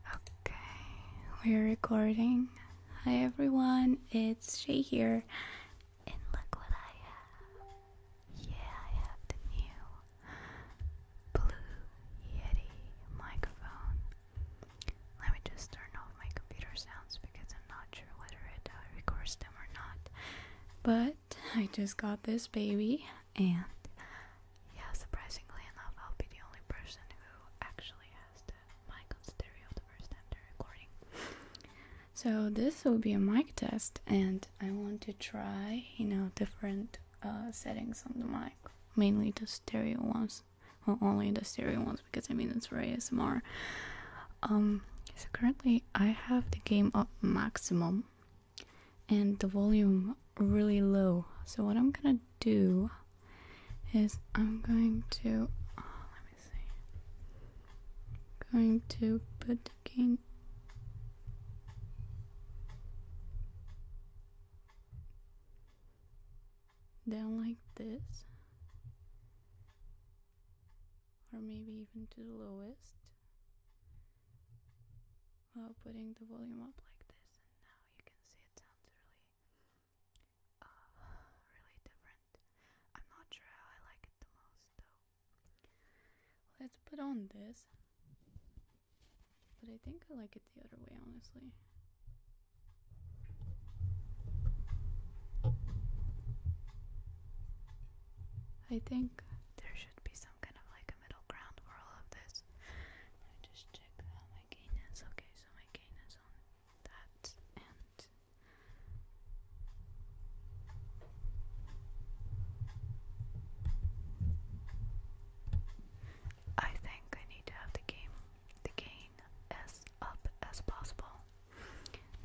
Okay, we're recording. Hi everyone, it's Shay here. And look what I have. Yeah, I have the new Blue Yeti microphone. Let me just turn off my computer sounds because I'm not sure whether it uh, records them or not. But I just got this baby, and yeah, surprisingly enough, I'll be the only person who actually has the mic on stereo the first time they're recording. So, this will be a mic test, and I want to try, you know, different uh, settings on the mic, mainly the stereo ones well only the stereo ones because I mean it's very smr. Um, so currently I have the game up maximum and the volume really low. So what I'm gonna do is I'm going to oh, let me see. going to put the game down like this or maybe even to the lowest while putting the volume up like this and now you can see it sounds really uh, really different I'm not sure how I like it the most though let's put on this but I think I like it the other way honestly I think there should be some kind of like a middle ground for all of this. Let just check how my gain is. Okay, so my gain is on that end. I think I need to have the game the gain as up as possible.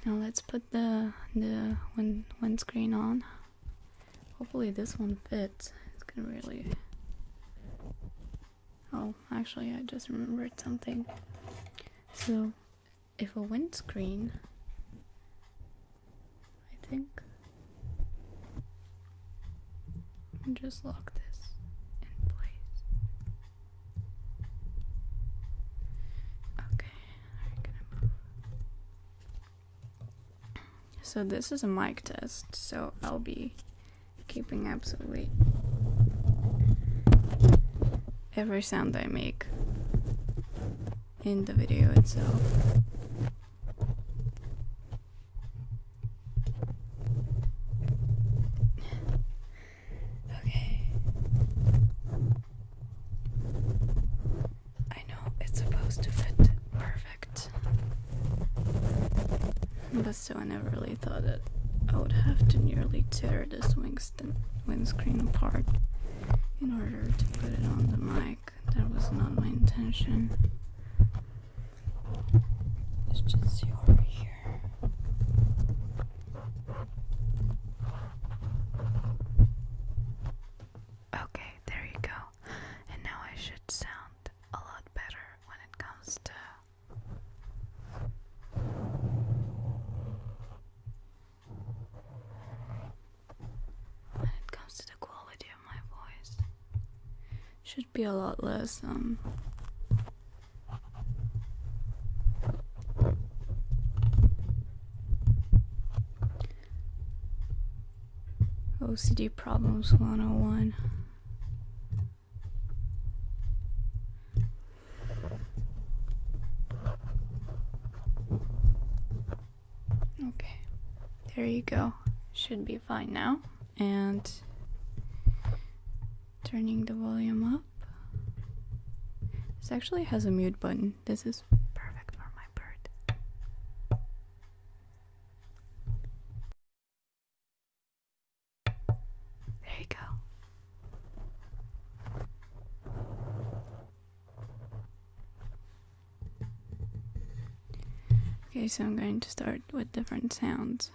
Now let's put the the wind windscreen on. Hopefully this one fits. It's gonna really. Oh, actually, I just remembered something. So, if a windscreen, I think. Just lock this in place. Okay, So this is a mic test, so I'll be keeping absolutely every sound I make in the video itself. Okay. I know it's supposed to fit perfect. But so I never really thought that I would have to nearly tear this windscreen apart in order to put it on the mic. That was not my intention. let just see over here. Okay, there you go. And now I should sound a lot better when it comes to. When it comes to the quality of my voice, should be a lot less um OCD Problems 101. Okay, there you go. Should be fine now. And turning the volume up. This actually has a mute button. This is perfect for my bird. There you go. Okay, so I'm going to start with different sounds.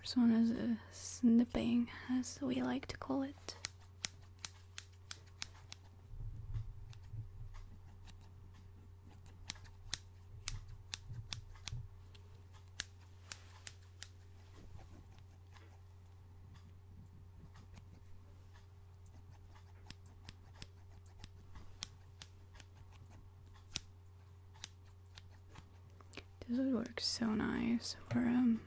This one is snipping, as we like to call it. This would work so nice for um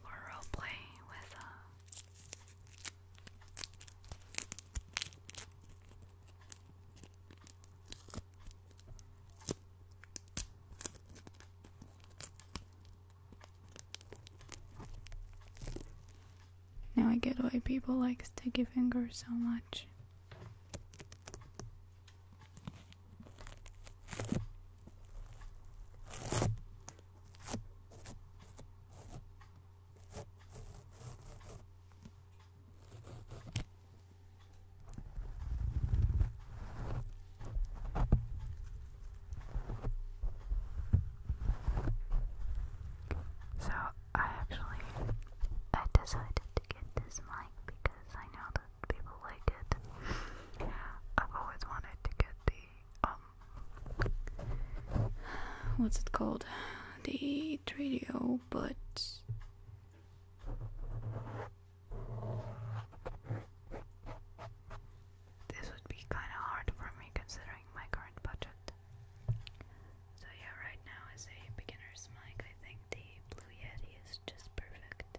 for roleplay with uh Now I get why people like sticky fingers so much. So I actually I decided to get this mic because I know that people like it. I've always wanted to get the um what's it called? The radio, but this would be kind of hard for me considering my current budget. So yeah, right now as a beginner's mic, I think the Blue Yeti is just perfect.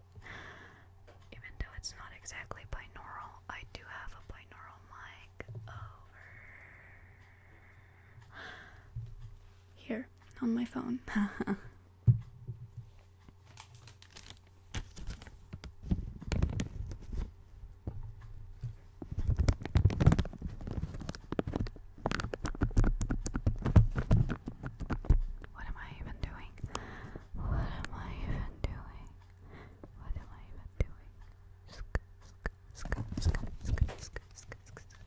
Even though it's not exactly binaural, I do have a binaural mic over here on my phone. What am I even doing? What am I even doing? What am I even doing? Sk sk sk sk sk sk sk sk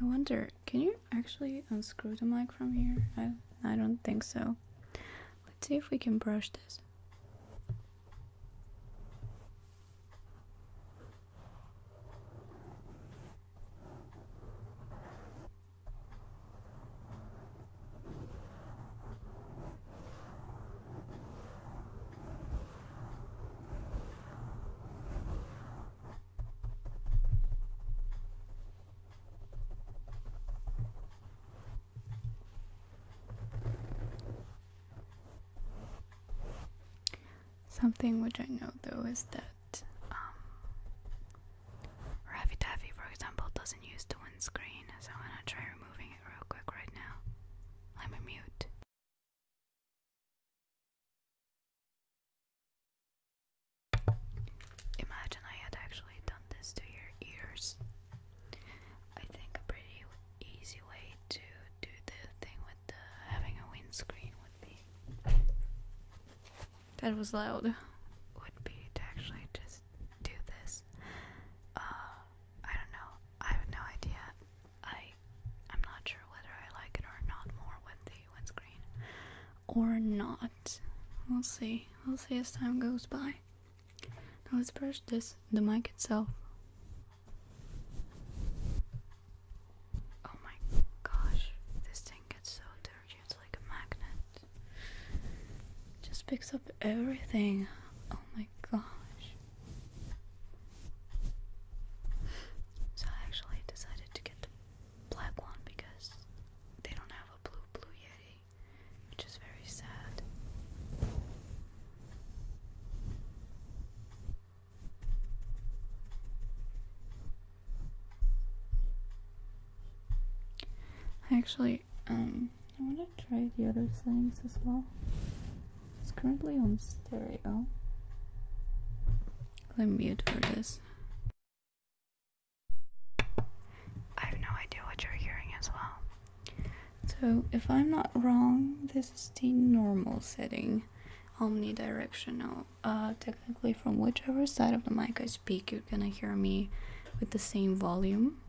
I wonder, can you actually unscrew the mic from here? I, I don't think so. Let's see if we can brush this. Something which I know though is that um, Ravi Taffy, for example, doesn't use the windscreen, so I'm gonna try removing it real quick right now. Let me mute. Imagine I had actually done this to your ears. I think a pretty easy way to do the thing with having a windscreen would be. That was loud. Would be to actually just do this. Uh, I don't know. I have no idea I I'm not sure whether I like it or not more with the windscreen or not. We'll see. We'll see as time goes by. Now let's brush this the mic itself. Oh my gosh, this thing gets so dirty, it's like a magnet. just picks up everything. Oh my gosh. So I actually decided to get the black one because they don't have a blue blue yeti, which is very sad. I actually um I want to try the other things as well. It's currently on stereo. Let me mute for this. I have no idea what you're hearing as well. So, if I'm not wrong, this is the normal setting, omnidirectional. Uh, technically, from whichever side of the mic I speak, you're gonna hear me with the same volume.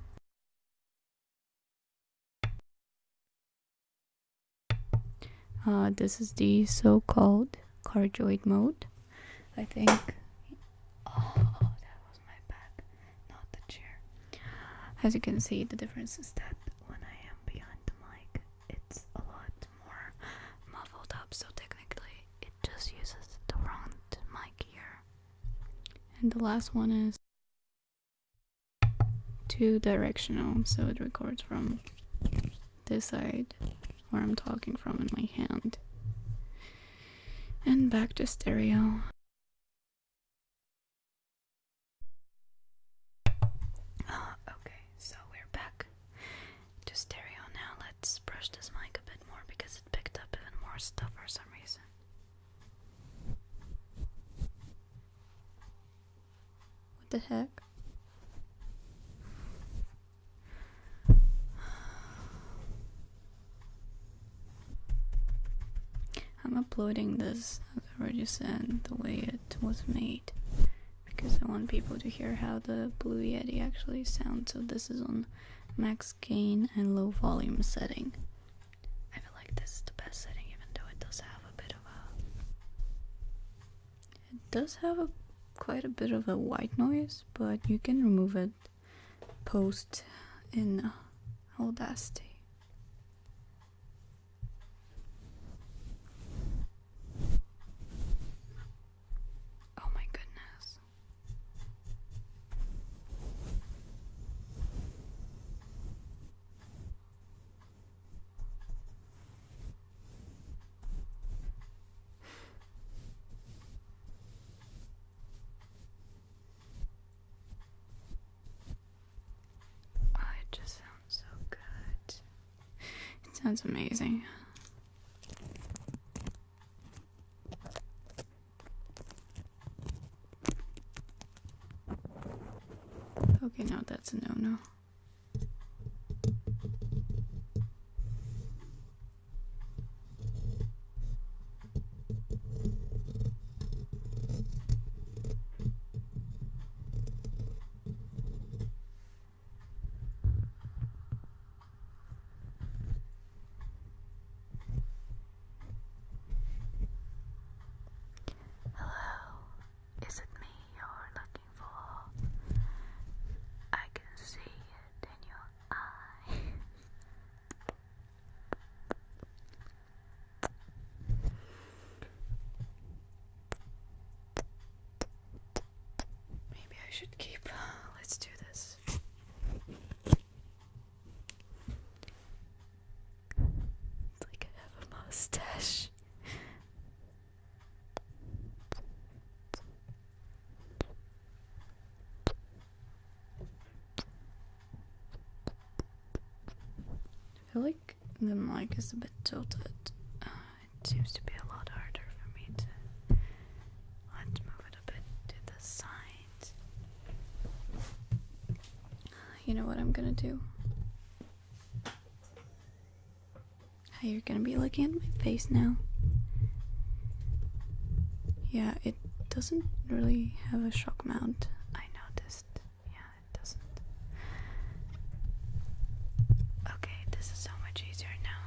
Uh, this is the so-called cardioid mode, I think. Oh, that was my back, not the chair. As you can see, the difference is that when I am behind the mic, it's a lot more muffled up, so technically it just uses the wrong mic here. And the last one is two directional so it records from this side where I'm talking from in my hand and back to stereo oh, okay so we're back to stereo now let's brush this mic a bit more because it picked up even more stuff for some reason what the heck? I'm uploading this, as I already said, the way it was made because I want people to hear how the Blue Yeti actually sounds. So this is on max gain and low volume setting. I feel like this is the best setting, even though it does have a bit of a. It does have a quite a bit of a white noise, but you can remove it post in Audacity. Oh my goodness. Oh, it just sounds so good. It sounds amazing. Okay, now that's a no-no. Hello, is it me you're looking for? I can see it in your eye. Maybe I should keep. Let's do this. It's like I have a mustache. I feel like the mic is a bit tilted. Uh, it seems to be a lot harder for me to. Let's move it a bit to the side you know what I'm gonna do? How you're gonna be looking at my face now? Yeah, it doesn't really have a shock mount. I noticed. Yeah, it doesn't. Okay, this is so much easier now.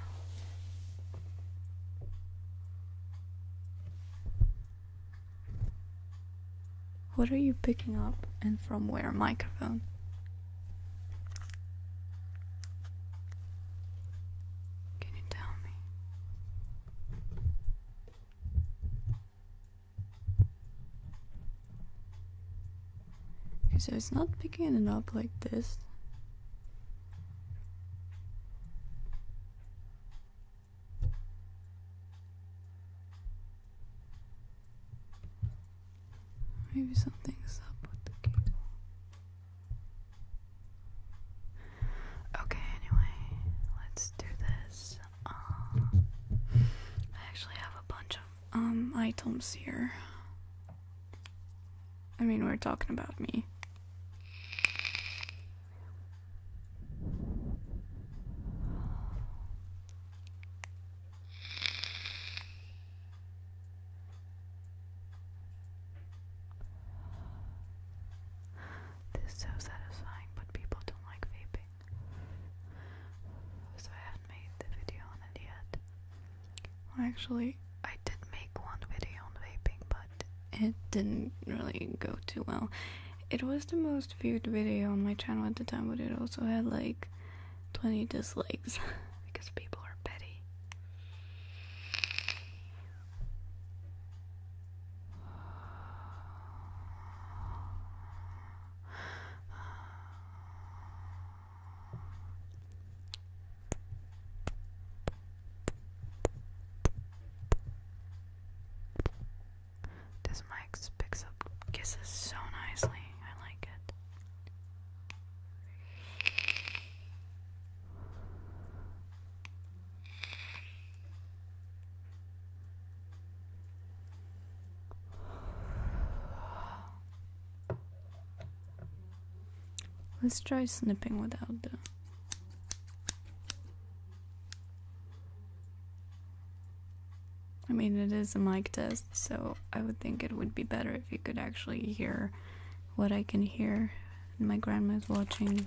What are you picking up and from where microphone? Can you tell me? Okay, so it's not picking it up like this. Maybe something's up with the cable. Okay, anyway, let's do this. Um, I actually have a bunch of um items here. I mean, we're talking about me. This is so satisfying, but people don't like vaping. So I haven't made the video on it yet. actually, I did make one video on vaping, but it didn't really go too well. It was the most viewed video on my channel at the time, but it also had like 20 dislikes because people are petty. This mic picks up kisses so nicely. I like it. Let's try snipping without the I mean, it is a mic test, so I would think it would be better if you could actually hear what I can hear. My grandma is watching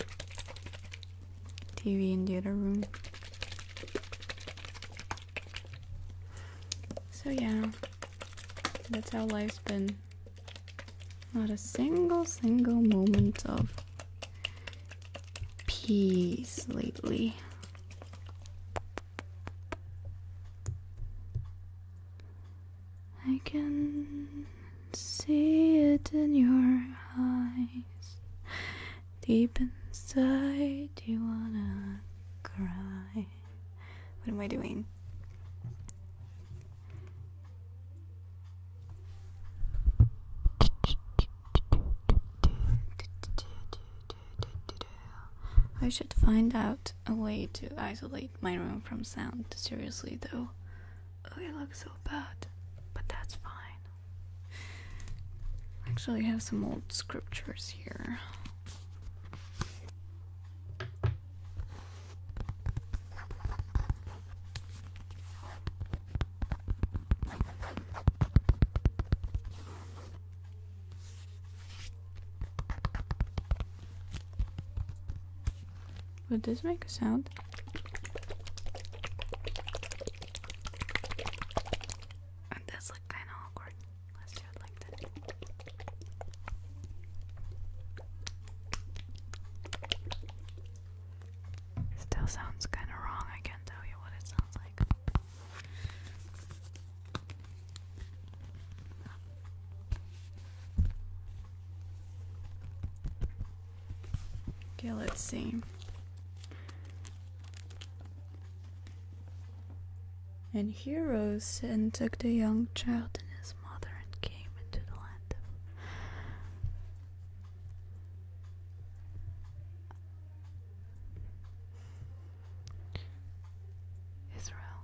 TV in the other room. So, yeah, that's how life's been. Not a single, single moment of Peace lately. I can see it in your eyes. Deep inside, you wanna cry. What am I doing? I should find out a way to isolate my room from sound. Seriously, though. Oh, it looks so bad. But that's fine. Actually, I have some old scriptures here. Would this make a sound? And that's kind of awkward. Still sounds kind of wrong. I can't tell you what it sounds like. Okay, let's see. And he rose and took the young child and his mother and came into the land Israel.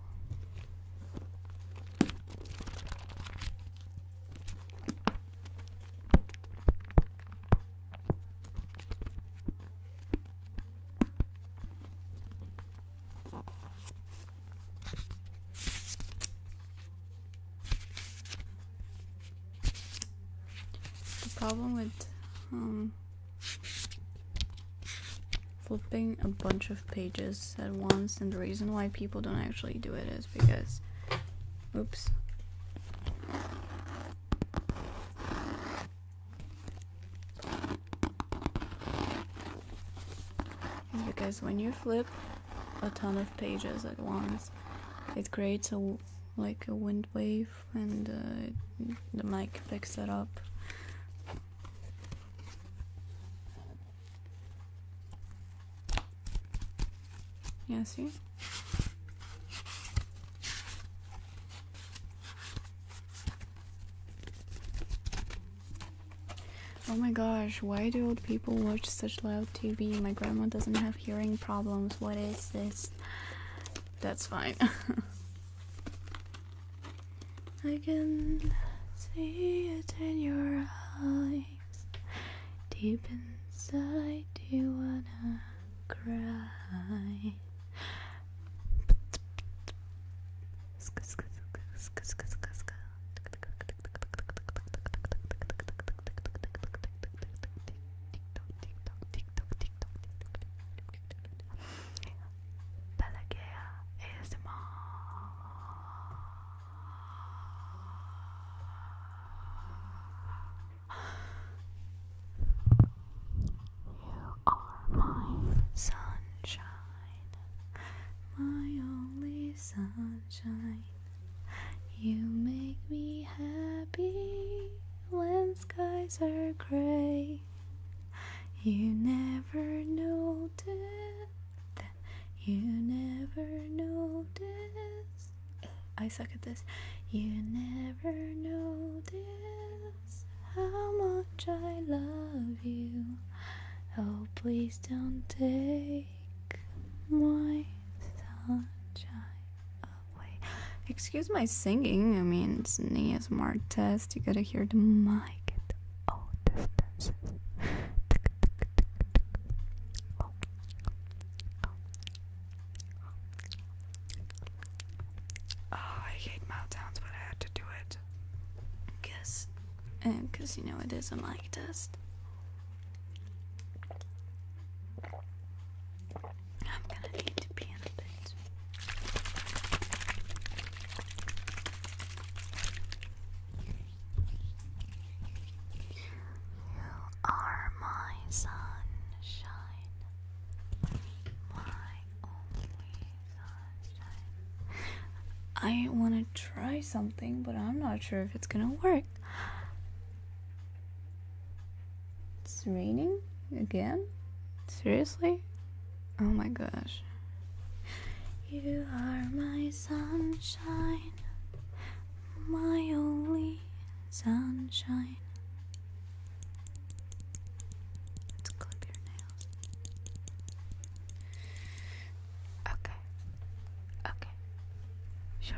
The problem with um, flipping a bunch of pages at once, and the reason why people don't actually do it is because, oops. Because when you flip a ton of pages at once, it creates a like a wind wave and uh, the mic picks that up. Yeah, Oh my gosh, why do old people watch such loud TV? My grandma doesn't have hearing problems. What is this? that's fine. I can see it in your eyes. Deep inside, you wanna cry. TikTok, TikTok, TikTok, You are my sunshine, my only sunshine. You make me happy when skies are gray. You never noticed you never noticed. I suck at this. You never notice how much I love you. Oh, please don't take my sunshine. Excuse my singing. I mean, it's a smart test. You gotta hear the mic Oh. I hate mouth sounds, but I had to do it. Cause, um, cause you know it is a mic test. I'm gonna need to pee in a bit. You are my sunshine. I want to try something, but I'm not sure if it's gonna work. It's raining again? Seriously? Oh my gosh. You are my sunshine, my only sunshine. Let's clip your nails. Okay. Okay. Sure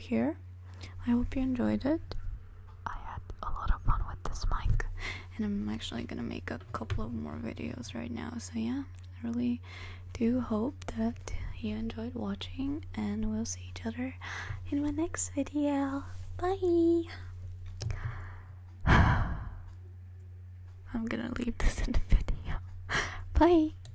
here. I hope you enjoyed it. I had a lot of fun with this mic, and I'm actually gonna make a couple of more videos right now. So, yeah, I really do hope that you enjoyed watching, and we'll see each other in my next video. Bye! I'm gonna leave this in the video. Bye!